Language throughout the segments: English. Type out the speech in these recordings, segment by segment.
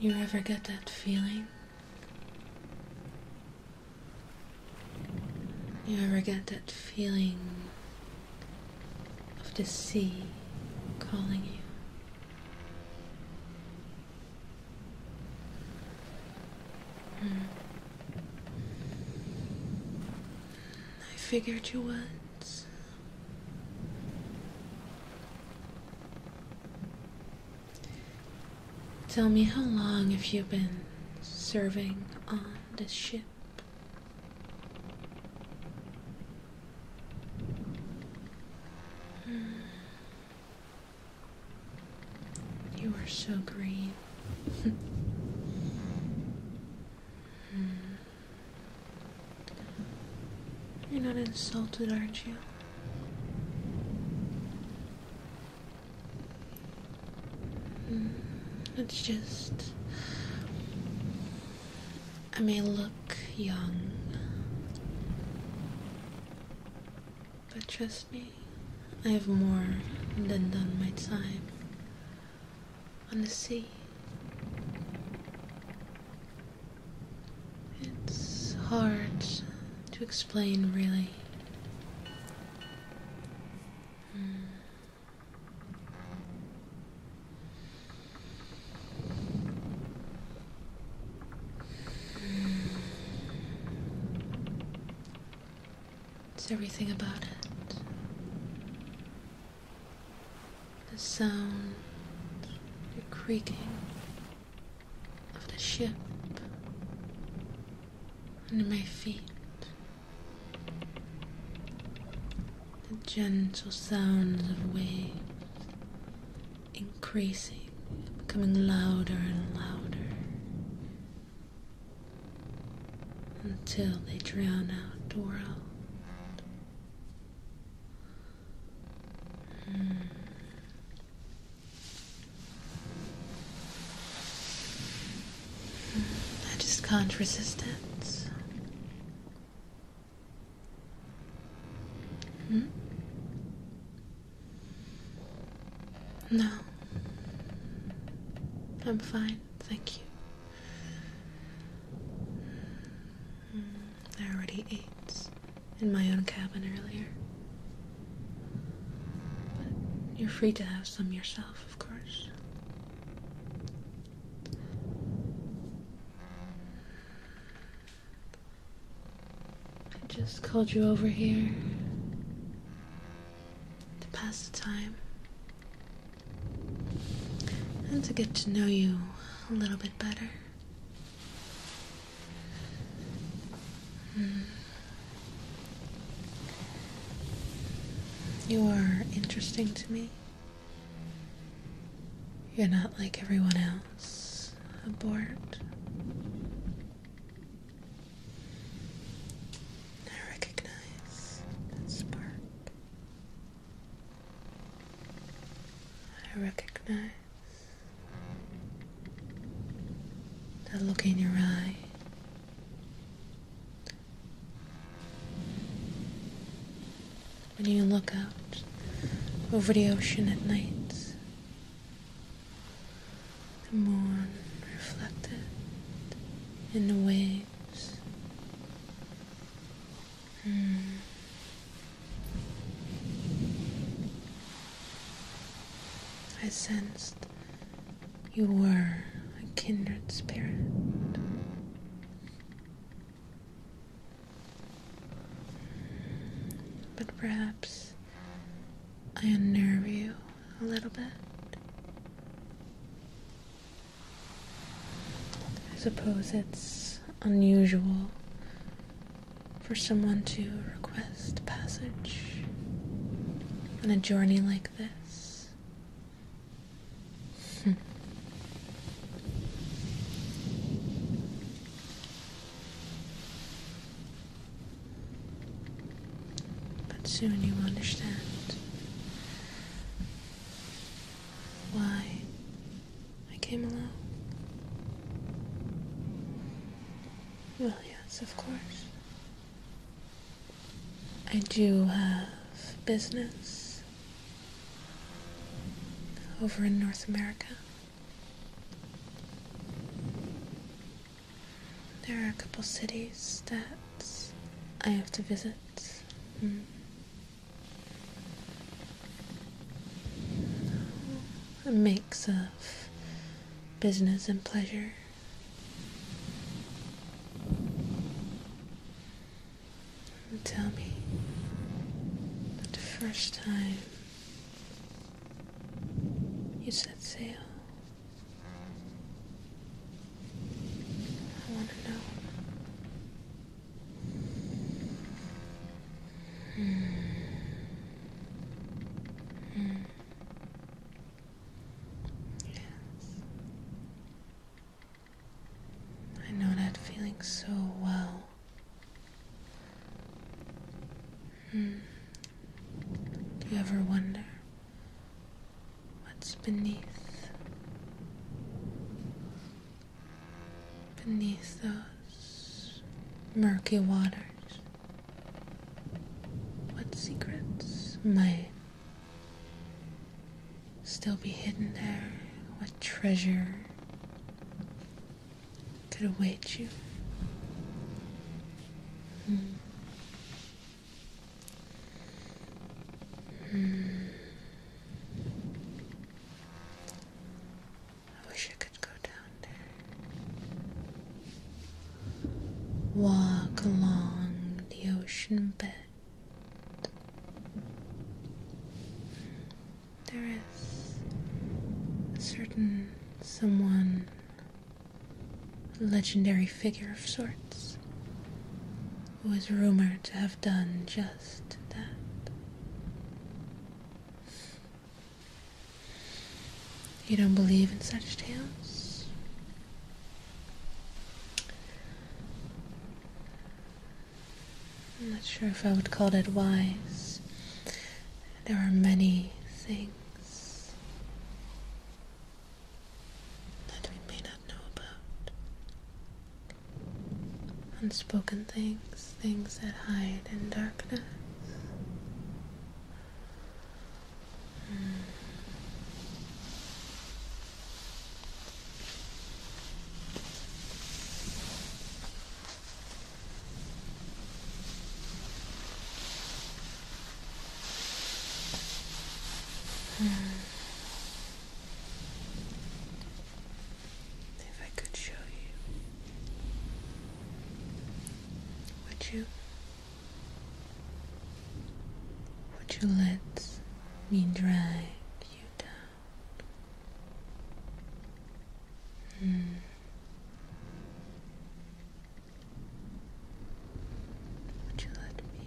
You ever get that feeling? You ever get that feeling of the sea calling you? Hmm. I figured you would. Tell me how long have you been serving on this ship? Hmm. You are so green. Hmm. You're not insulted, aren't you? Hmm, it's just. I may look young, but trust me, I have more than done my time on the sea. It's hard to explain, really. Hmm. It's everything about it. The sound, the creaking of the ship under my feet. The gentle sounds of waves increasing, becoming louder and louder until they drown out the hmm. world. I just can't resist it. Hmm? No. I'm fine. Thank you. Mm, I already ate in my own cabin earlier. you're free to have some yourself, of course. I just called you over here to pass the time and to get to know you a little bit better. Hmm. You are interesting to me. You're not like everyone else, aboard. I recognize that spark. I recognize that look in your eye. When you look out over the ocean at night, the moon reflected in the waves. Hmm. I sensed you were a kindred spirit. But perhaps I unnerve you a little bit. I suppose it's unusual for someone to request passage on a journey like this. But soon you understand why I came alone. Well, yes, of course. I do have business over in North America. There are a couple cities that I have to visit. Hmm. A mix of business and pleasure. Tell me the first time you set sail. I want to know. Mm. Mm. Yes. I know that feeling so well. Mm. Do you ever wonder what's beneath? Beneath those murky waters, what secrets might still be hidden there? What treasure could await you? Mm. I wish I could go down there. Walk along the ocean bed. There is a certain someone a legendary figure of sorts, who was rumored to have done just that. You don't believe in such tales? I'm not sure if I would call that wise. There are many things that we may not know about. Unspoken things, things that hide in darkness. Hmm. Hmm. If I could show you, would you? Would you let me drag you down? Hmm. Would you let me?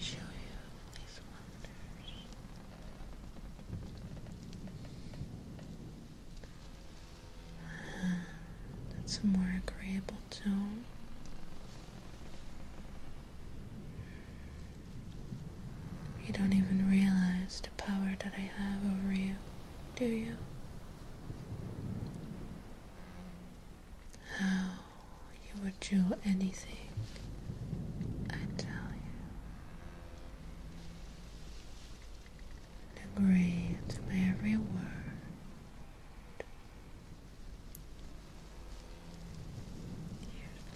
Show you these wonders. that's a more agreeable tone. You don't even realize the power that I have over you, do you? How you would do anything, I tell you. And agree every word.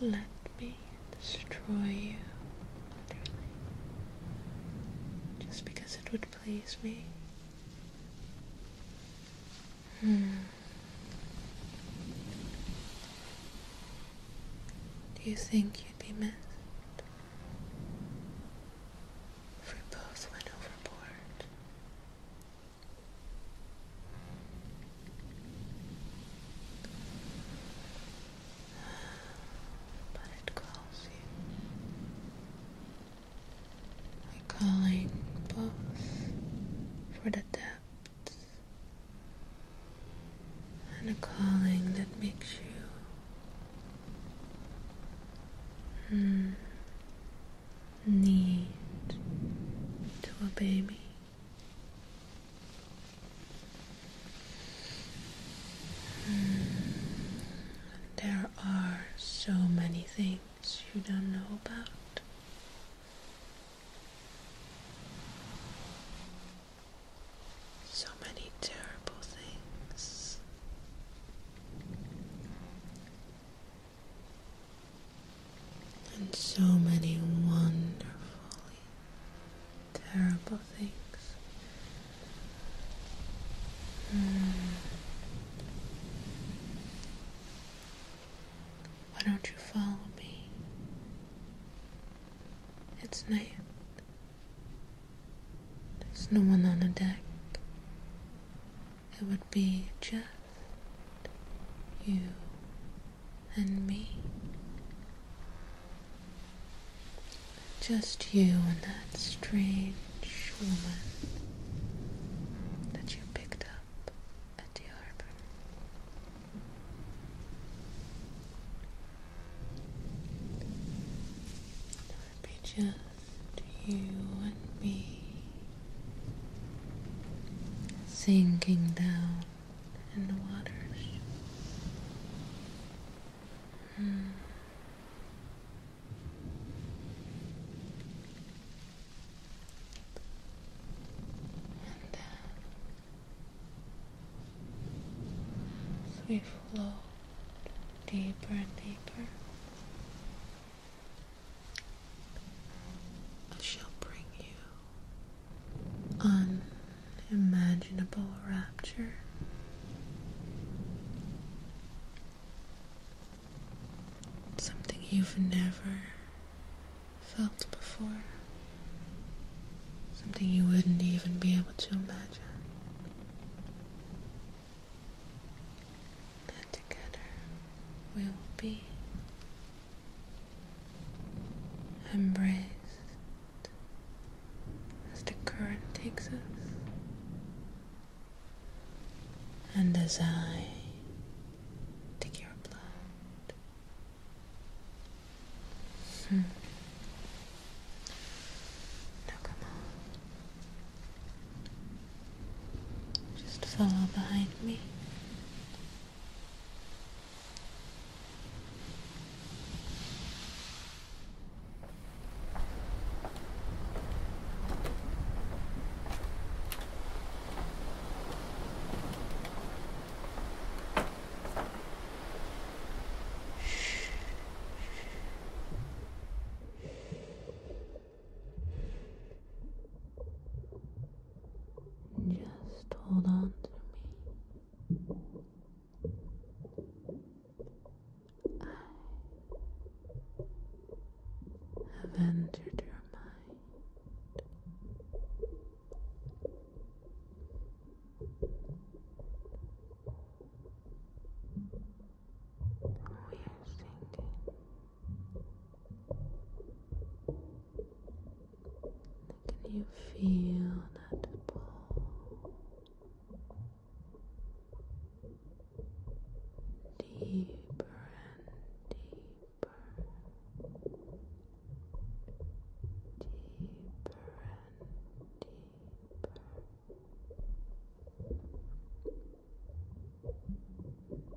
You'd let me destroy you Just because it would please me. Hmm. Do you think you'd be missed? If we both went overboard. But it calls you. we calling both for the depths and a calling that makes you. Hmm, need to obey me. There are so many things you don't know about. So many terrible things and so many wonderful, terrible things. Hmm. Why don't you follow me? It's night. There's no one on the deck be just you and me. Just you and that strange woman that you picked up at the harbor. It would be just you and me sinking down in the waters. Hmm. And down. Uh, we flow deeper and deeper She'll bring you unimaginable rapture. Something you've never felt before. Something you wouldn't even be able to imagine that together we will be embraced as the current takes us. And as I take your blood, hmm. now come on, just follow behind me. Just hold on to me. I have entered your mind we are sinking can you feel that pull deeper and deeper deeper and deeper sinking deeper and deeper.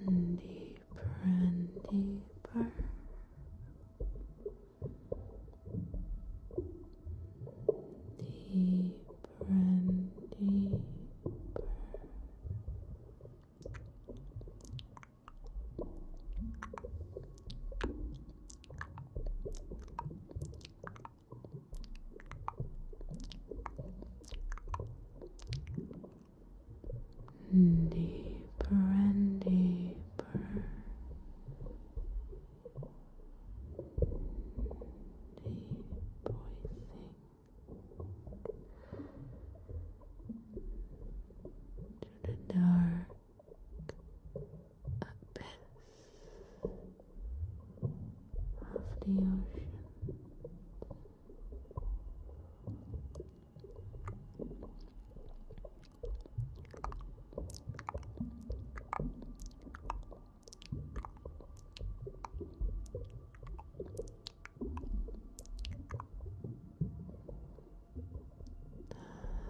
Deeper and deeper. Deeper and deeper. Deeper and deeper, deep breathing, the dark abyss of the ocean.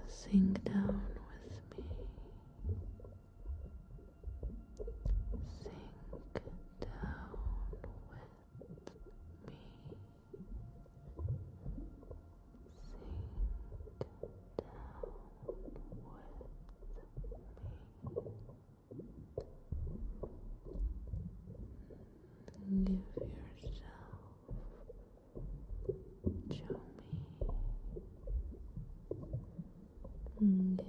Sink down with me. Sink down with me. Sink down with me. Give yourself, show me. Live yourself to me. Deeper and deeper. Deeper and deeper.